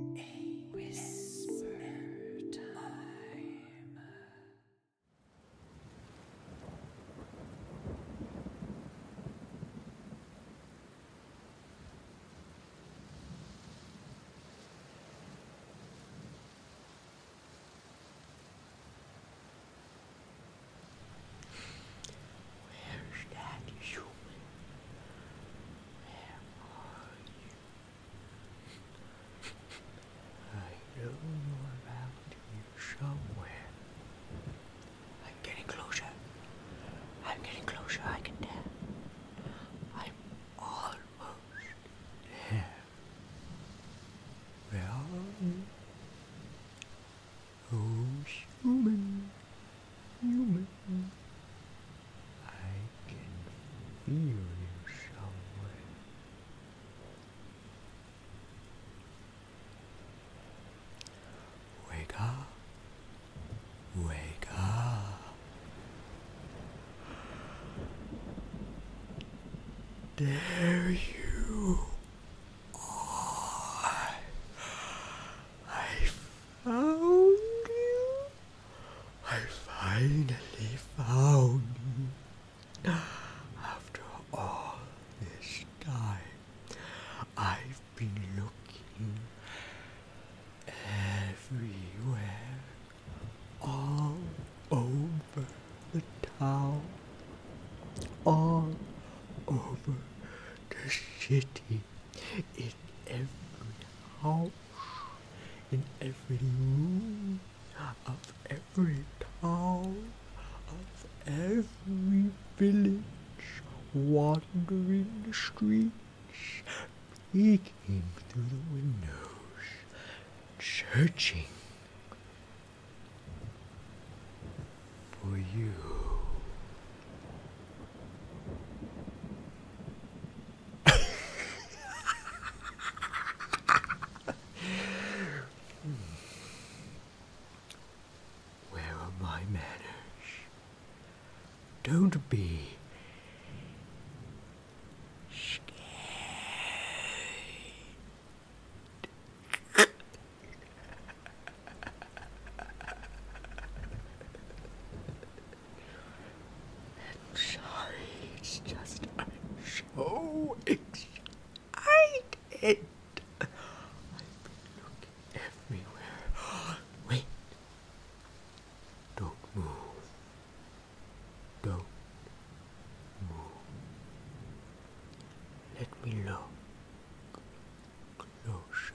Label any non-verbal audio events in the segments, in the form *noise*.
A whisper time. Where's that human? Where are you? I know you're around here somewhere. I'm getting closer. I'm getting closer, I can tell. I'm almost there. Where are you? Those human. I can feel you somewhere. Wake up. Wake up. There you I found you. I finally found you. After all this time, I've been looking everywhere, all over the town, all over the city in every house, in every room, of every town, of every village, wandering the streets, peeking through the windows, searching. For you, where are my manners? Don't be scared. *laughs* I'm sorry, it's just I'm so excited. I've been looking everywhere. Wait. Don't move. Don't move. Let me look closer.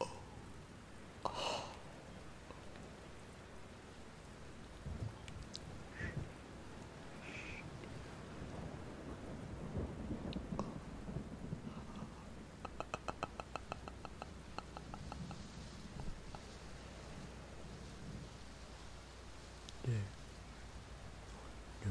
Oh. Oh. There. No.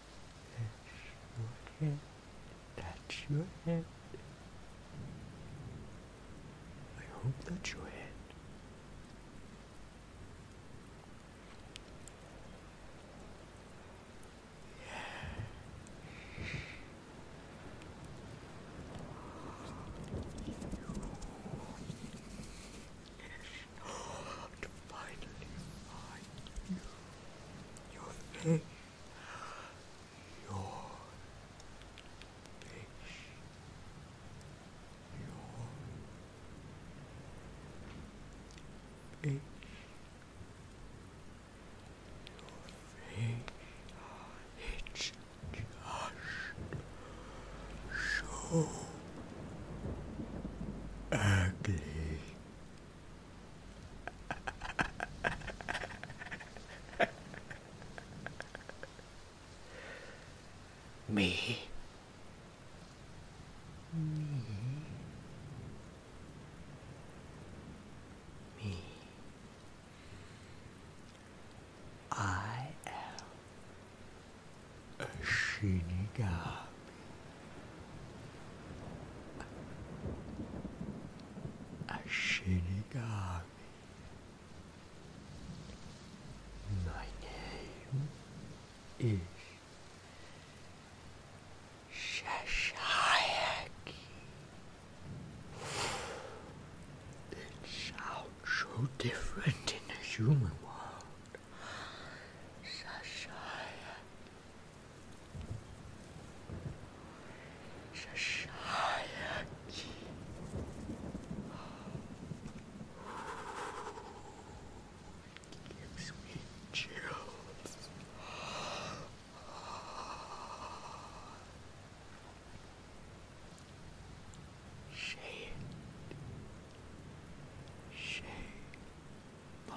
Touch your head. Touch your head. I hope that's your head. Yeah could finally find you. Your fish. Your fish. Your fish. Your fish. It's just so ugly. Me. *laughs* Me. Me. I am a Shinigami a Shinigami. My name is Shashayaki. It sounds so different in the human world. Shashayaki. Shashayaki. Gives me chills. Shade. Shade. By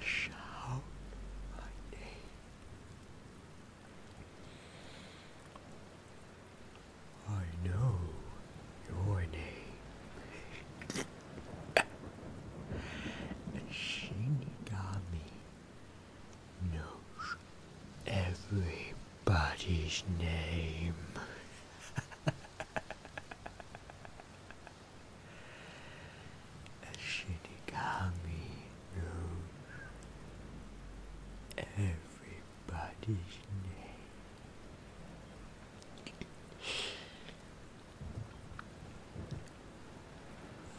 shout my name. I know your name. Shinigami knows everybody's name. *laughs* Shinigami knows everybody's name.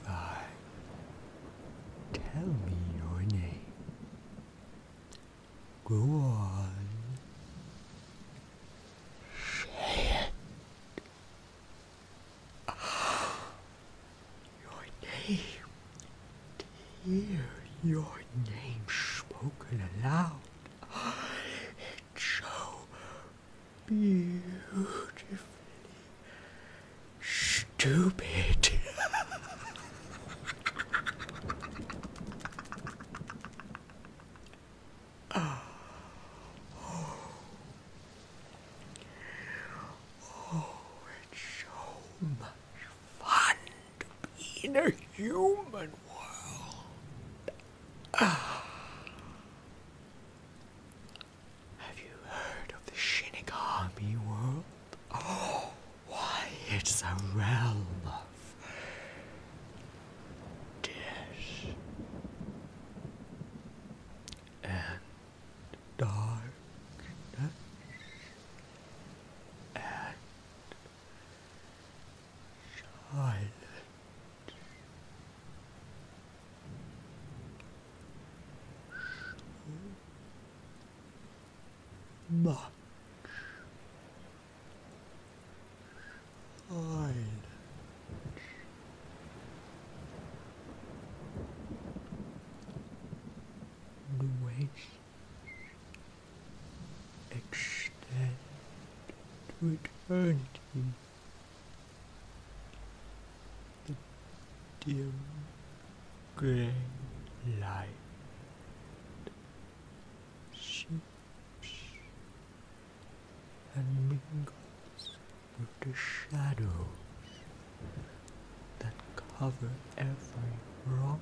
Five. Tell me your name. Go on. Shit. Your name, dear, your name spoken aloud. It's so beautifully stupid. *laughs* Oh. Oh. it's so much fun in a human world. Have you heard of the Shinigami world? Oh, *gasps* why, it's a realm of dish and darkness and silence. much Lord. Louis extend to eternity the dim grey light and mingles with the shadows that cover every rock.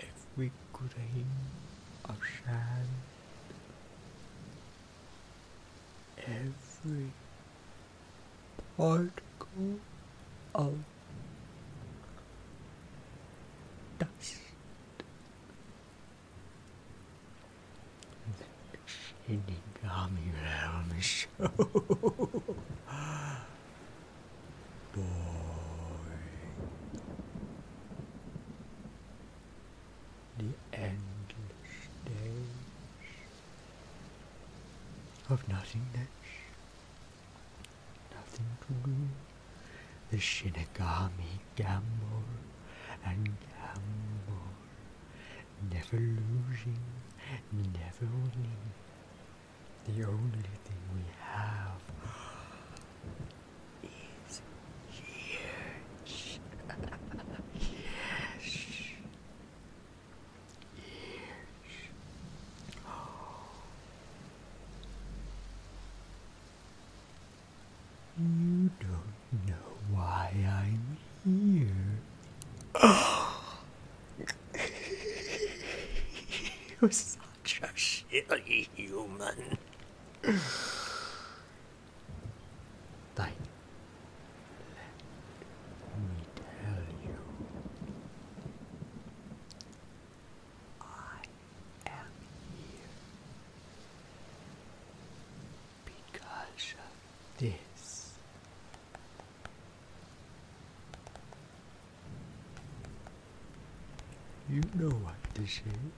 If we could grain of sand, every particle of dust and he got me right on the show boy the endless days of nothingness nothing to do. The Shinigami gamble and gamble, never losing, never winning. The only thing we have is here. yes. Yes. Oh, you don't know why I'm here. Oh. *laughs* You're such a silly human. Like, let me tell you. I am here because of this. You know what this is.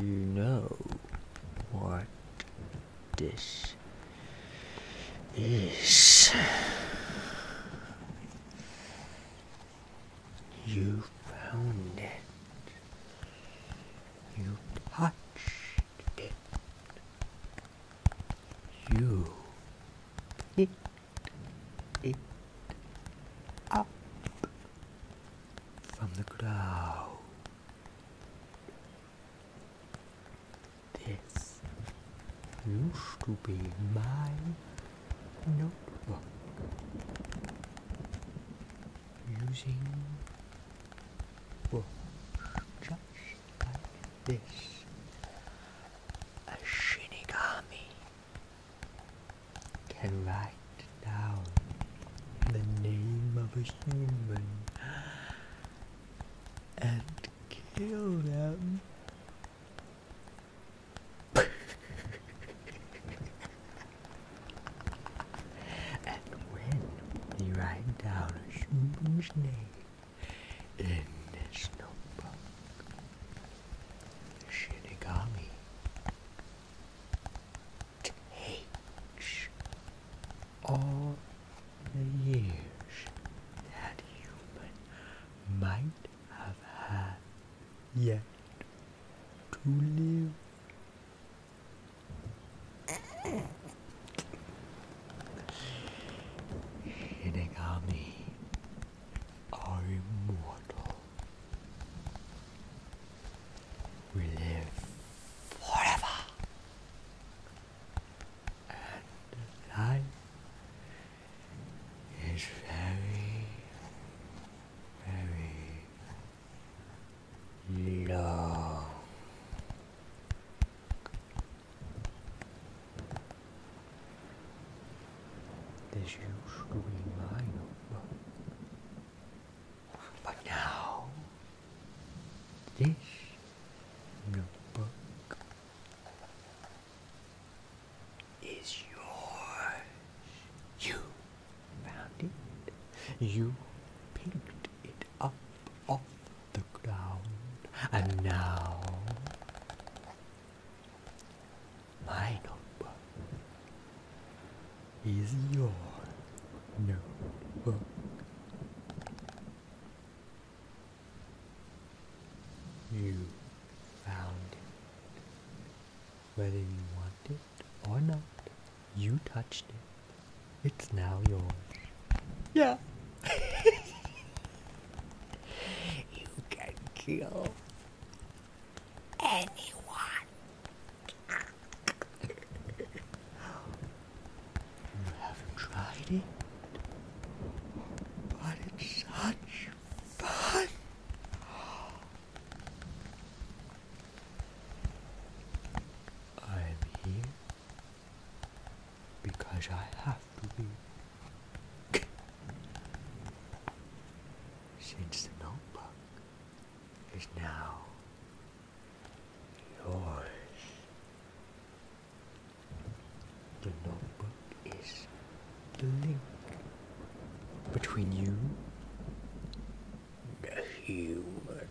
You know what this is you found it, you touched it, you picked it up from the ground. This used to be my notebook. Using just like this. A shinigami can write down the name of a human and kill them. and when we write down a human's name in this notebook, Shinigami takes all the years that human might have had yet to live. Shinigami are immortal. We live forever and the life is very, very low. This used to be my number, but now this notebook is yours. You found it. You picked it up off the ground. And now my notebook is your notebook. You found it. Whether you want it or not, you touched it. It's now yours. Yeah. *laughs* you can kill anyone. *laughs* You haven't tried it, but it's such fun. I'm here because I have to be. Since the notebook is now yours. The notebook is the link between you the human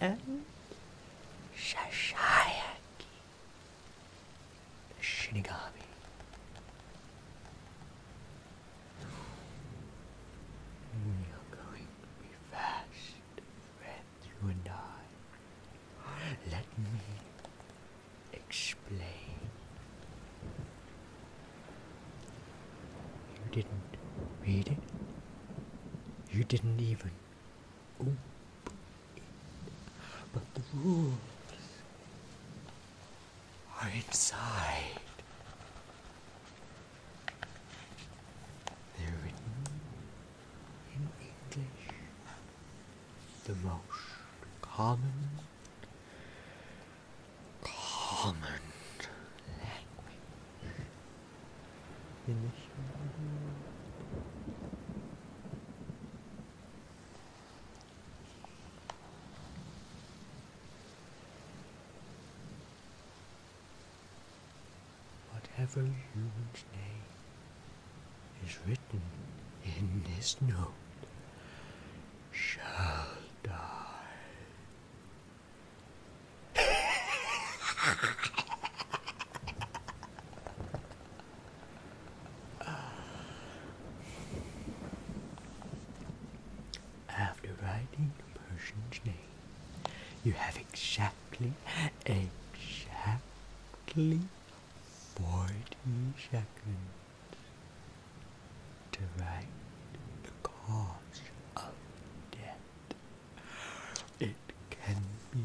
and Shashayaki the Shinigami. We are going to be fast, friend you and I. Let me explain. You didn't read it. You didn't even open it. But the rules are inside. They're written in English, the most common, common language in this world whatever human's name is written in this note shall die. After writing a person's name, you have exactly, exactly 40 seconds to write the cause of death. It can be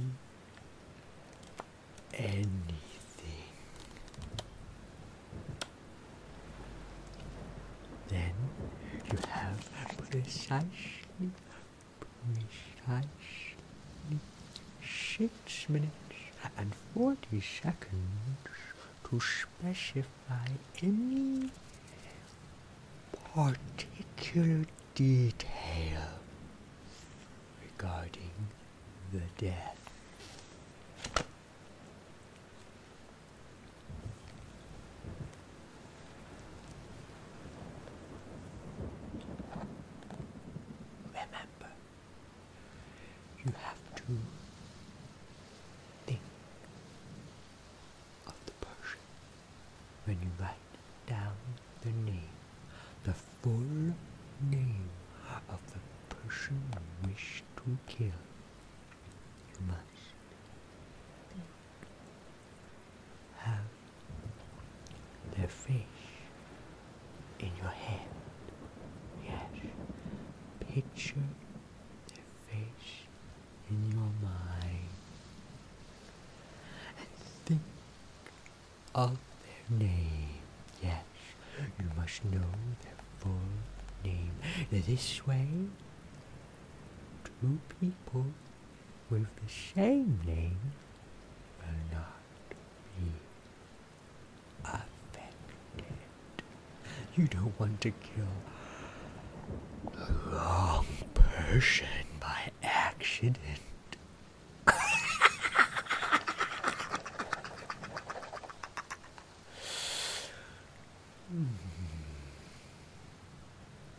anything. Then you have precisely precisely six minutes and forty seconds to specify any particular detail regarding the death. Remember, you have to think of the person when you write down the name, the full name of the person you wish to kill. You must think have the fish in your hand. Yes, picture the fish in your mind and think of their name. Yes, you must know their full name. This way, two people with the same name will not be offended. You don't want to kill the wrong person by accident. *laughs*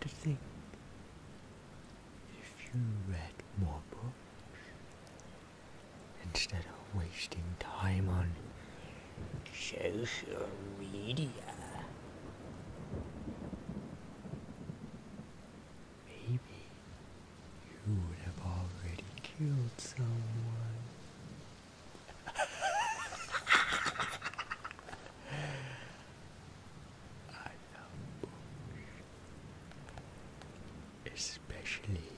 To think if you read more books instead of wasting time on social media, maybe you would have already killed someone. I love Especially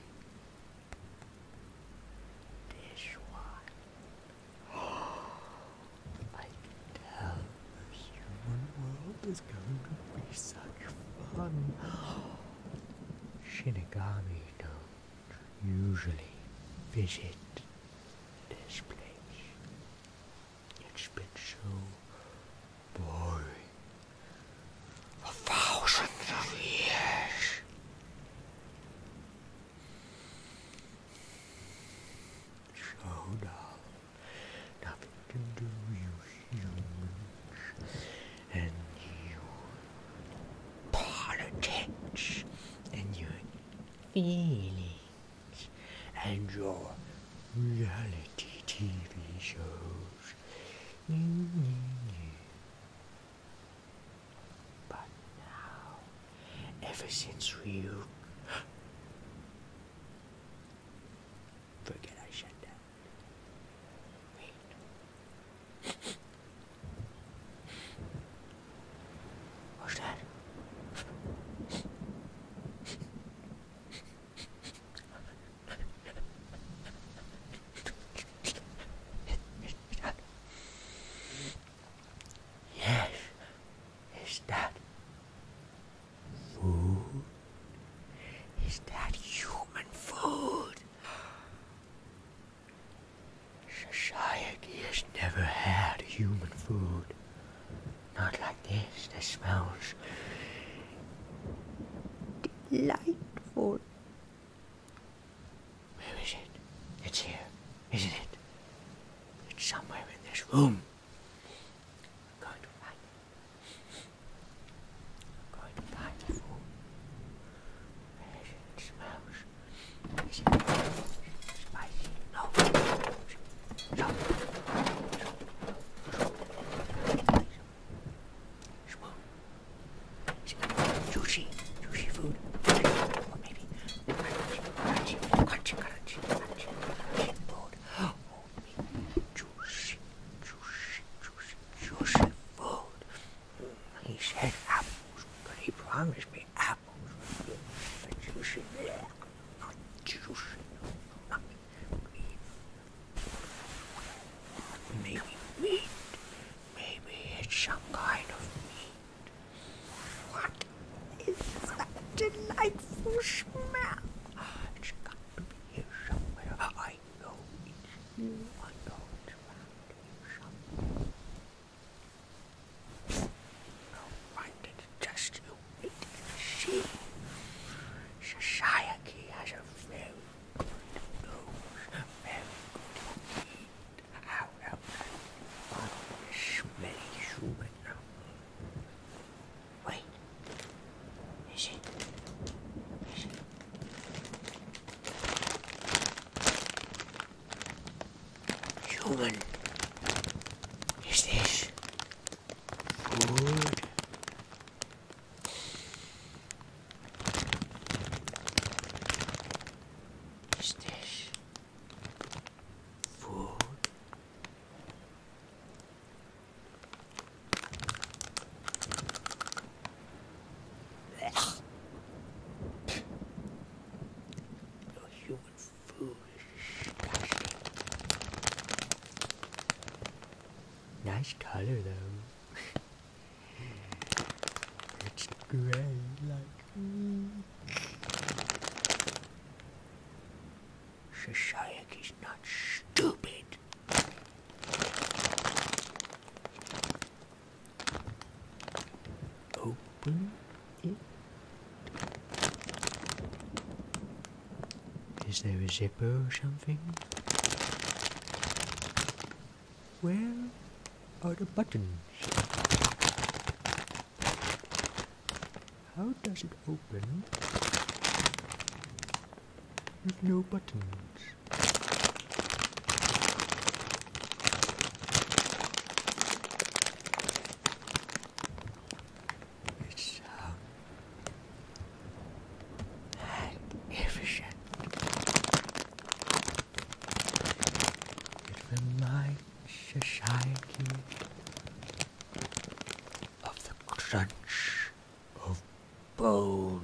this one. *gasps* I can tell the human world is going to be such fun. *gasps* Shinigami knows usually visit this place. It's been so boring for thousands of years. So now, nothing can do you humans and your politics and your feelings and your reality TV shows. But now, ever since you *gasps* forget I said that. What's that? yes, is that food? Is that human food? Society has never had human food. Not like this. This smells delightful. Where is it? It's here, isn't it? It's somewhere in this room. I'm going to find I'm going to find the food. It smells spicy. No. So. Spoon. Sushi. Sushi food. Or maybe crunchy, crunchy, crunchy, crunchy, crunchy food. Or maybe juicy, juicy, juicy, juicy food. He said apples, but he promised me apples. But you should not juice. Not meat. Maybe meat. Maybe it's some kind of meat. What is that delightful smell? It's got to be here somewhere. I know it's you. I know it's around shop. No one can you. It is she. Society has a very good nose, very good indeed. How about a smelly human? Wait. Is it? Is it? Human, is this food? Is this food? Nice color though. it's gray like me. Society's not stupid. Open it. Is there a zipper or something? Where are the buttons? How does it open with no buttons? It's so magnificent. It reminds society of the crunch of bones.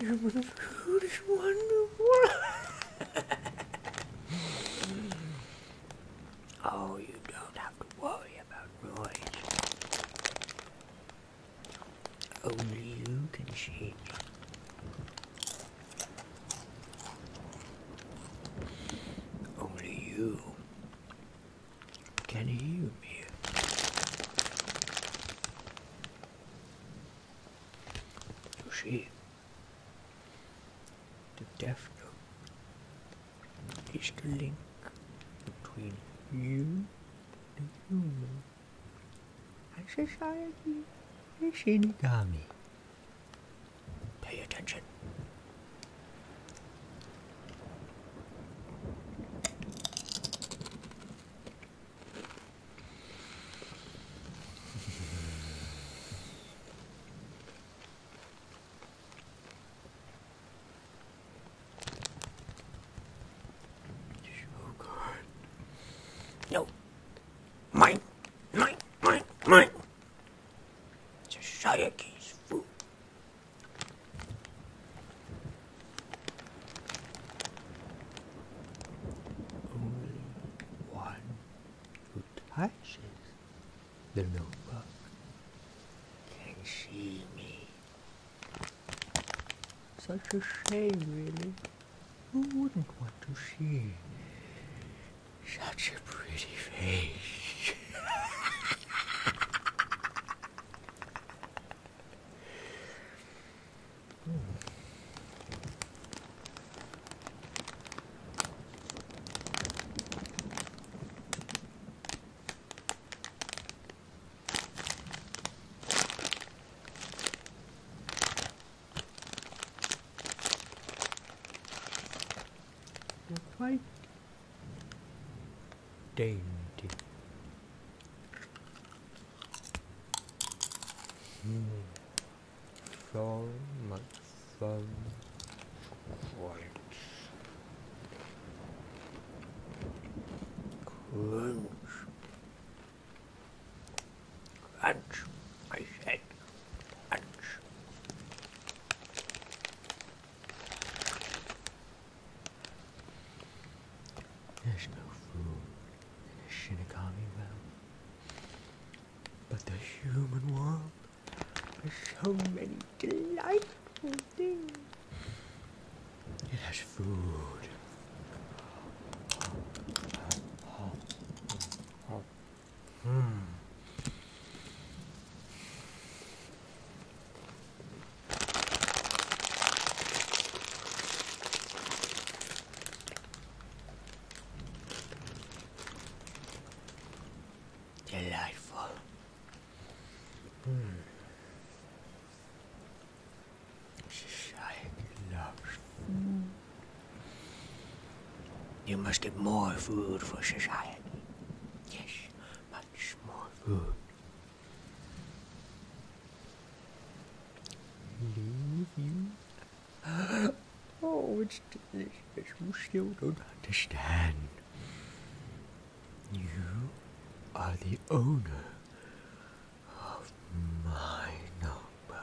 Human food wonderful. oh, you don't have to worry about Roy. Only you can change only you can hear me. You oh, see, the death note is the link between you and human and society and Shinigami. Pay attention. *laughs* Oh, God. No, Mine, mine, mine, mine. Society's food. Only one who touches the notebook can see me. Such a shame, really. Who wouldn't want to see such a pretty face quite dainty. Mm. So much fun. Quite crunch. Crunch, I said. There's no food in the Shinigami realm. But the human world has so many delightful things. It has food. Oh, oh, oh. Hmm. Delightful. Hmm. She loves. Mm. You must get more food for society. Yes, much more food. Leave you? *gasps* Oh, it's delicious. You still don't understand. You are the owner of my number.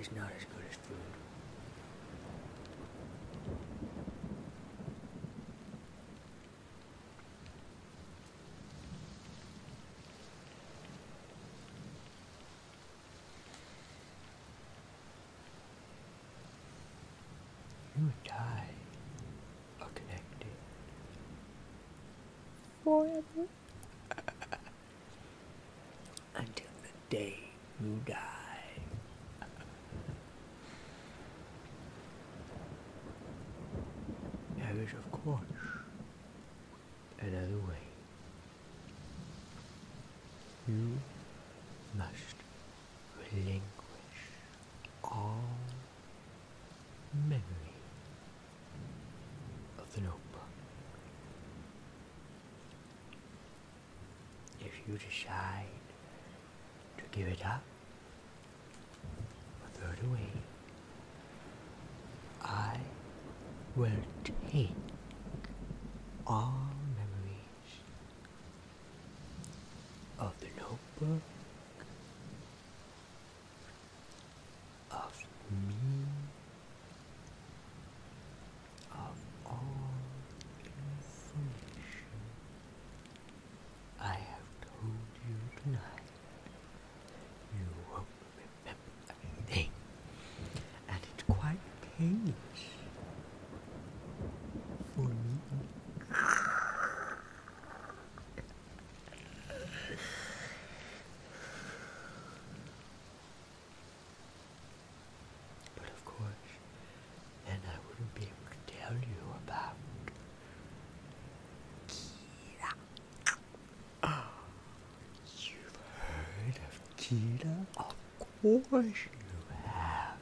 It's not as good as food. You die are connected forever *laughs* until the day you die. There is, of course, another way. You must relinquish all memory of the notebook. If you decide to give it up or throw it away, I will take all memories of the notebook of me of all information I have told you tonight. You won't remember anything, and it's quite painless for me. But of course, then I wouldn't be able to tell you about Kira. you've heard of Kira? Of course you have.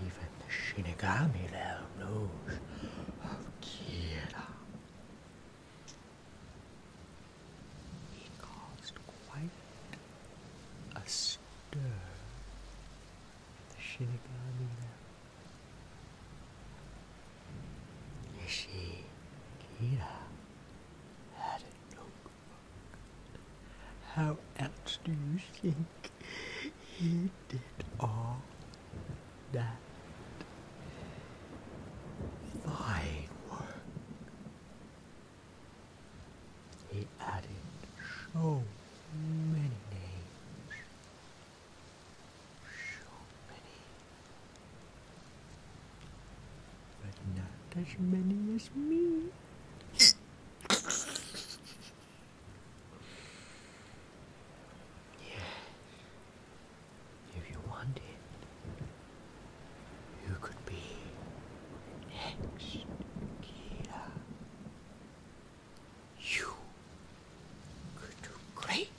Even the Shinigami now knows of Kira. He caused quite a stir the Shinigami now. You Kira had a notebook. How else do you think he did all that fine work. He added so many names, so many, but not as many as me. *laughs* Yeah. If you wanted, you could be next, Kira. You could do great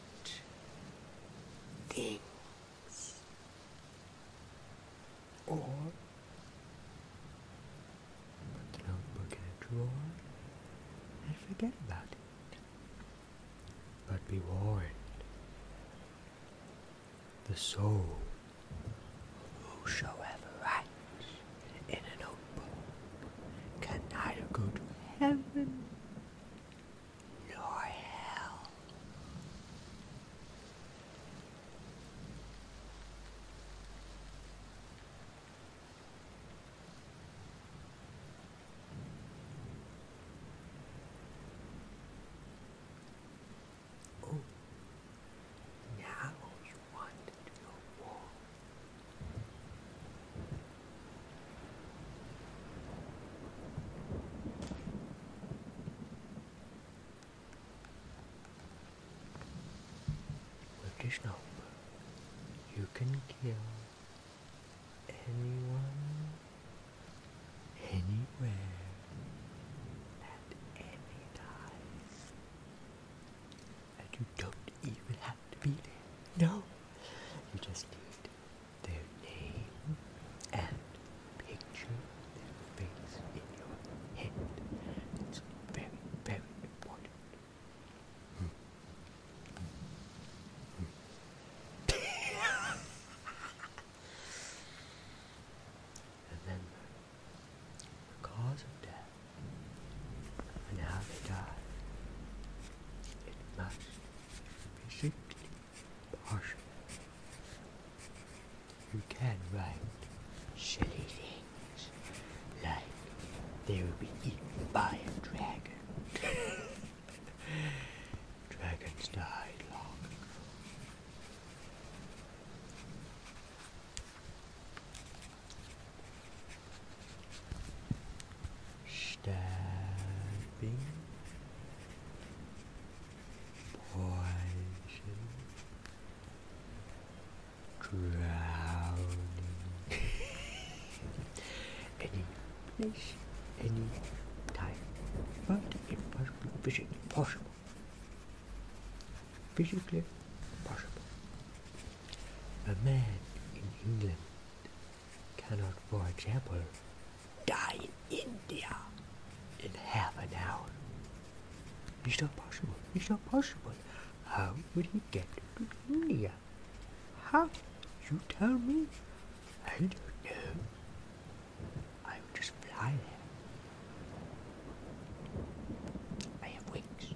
things. Or Put the notebook in a drawer and forget about it. But be warned, the soul whosoever writes in an open book can neither go to heaven nor hell. Oh, now you want to go warm. With this schnauber, you can kill anyone, anywhere, at any time. And you don't even have to be there. No! You just need their name and picture their face in your hand. It's very, very important. Remember the cause of death and how they died. It must be simply partial. You can write shitty things like they will be eaten by a dragon. *laughs* Dragons died long Stabbing, poison, drowning. any place, any time, but impossible, physically possible. Physically possible. A man in England cannot, for example, die in India in half an hour. It's not possible. It's not possible. How would he get to India? How? You tell me? I don't know. I would just fly there. I have wings.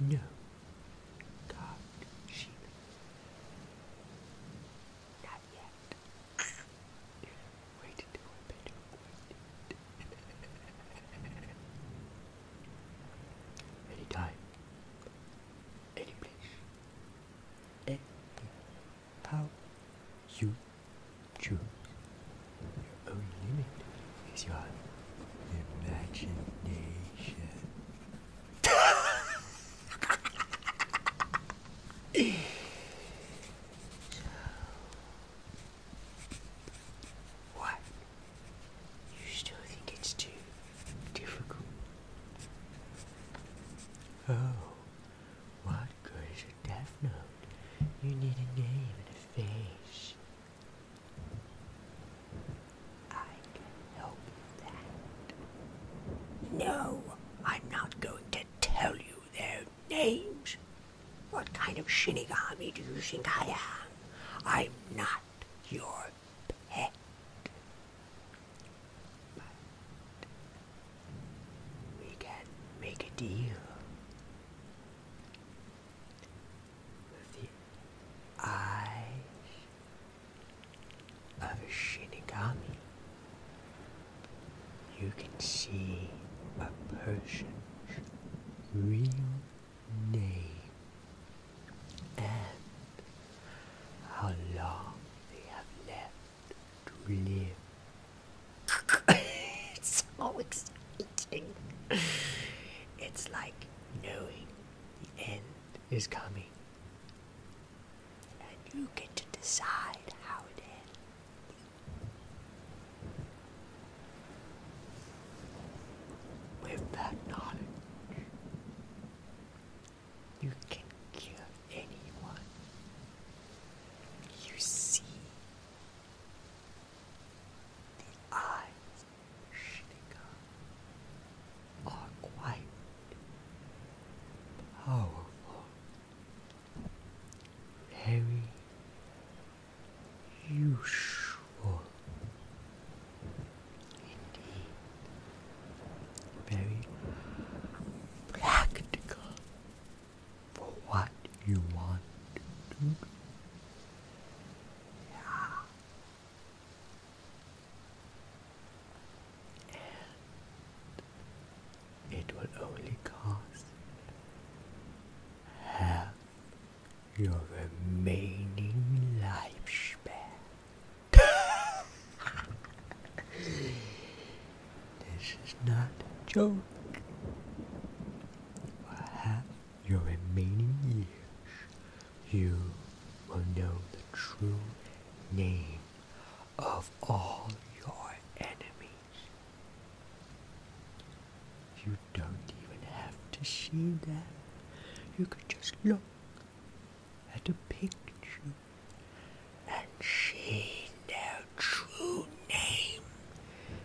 No. God, she. Not yet. Wait until I'm better. Any time, Any place. Any how you choose. Your own limit is your imagination. so, *laughs* what you still think it's too difficult? Oh, what good is a death note? You need a name and a face. I can help you that. No, I'm not going to tell you their names. What kind of shinigami do you think I am? I'm not your pet. But we can make a deal with the eyes of a shinigami. You can see a person's real name and how long they have left to live. *laughs* it's so exciting. It's like knowing the end is coming. And you get to decide how it ends. With that knowledge, you can cure anyone you see. The eyes, Shinika, are quite powerful, very usual. Indeed. Very practical for what you want Yeah. And it will only cost half your remaining lifespan. *laughs* this is not a joke. For half your remaining years, you will know the true name of all your enemies don't even have to see them. You could just look at a picture and see their true name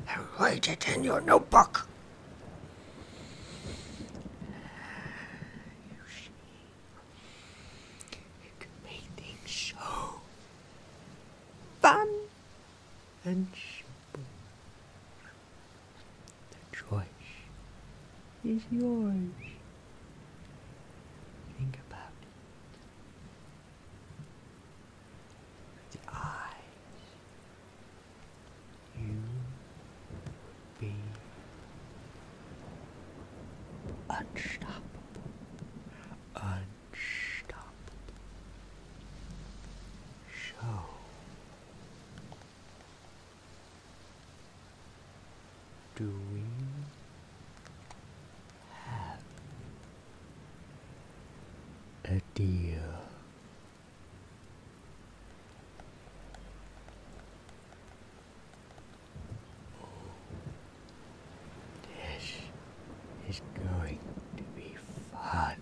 and write it in your notebook. You see, you can make things so fun and the choice is yours. Think about The eyes. You be unstoppable. Unstoppable. So do we have a deal? this is going to be fun.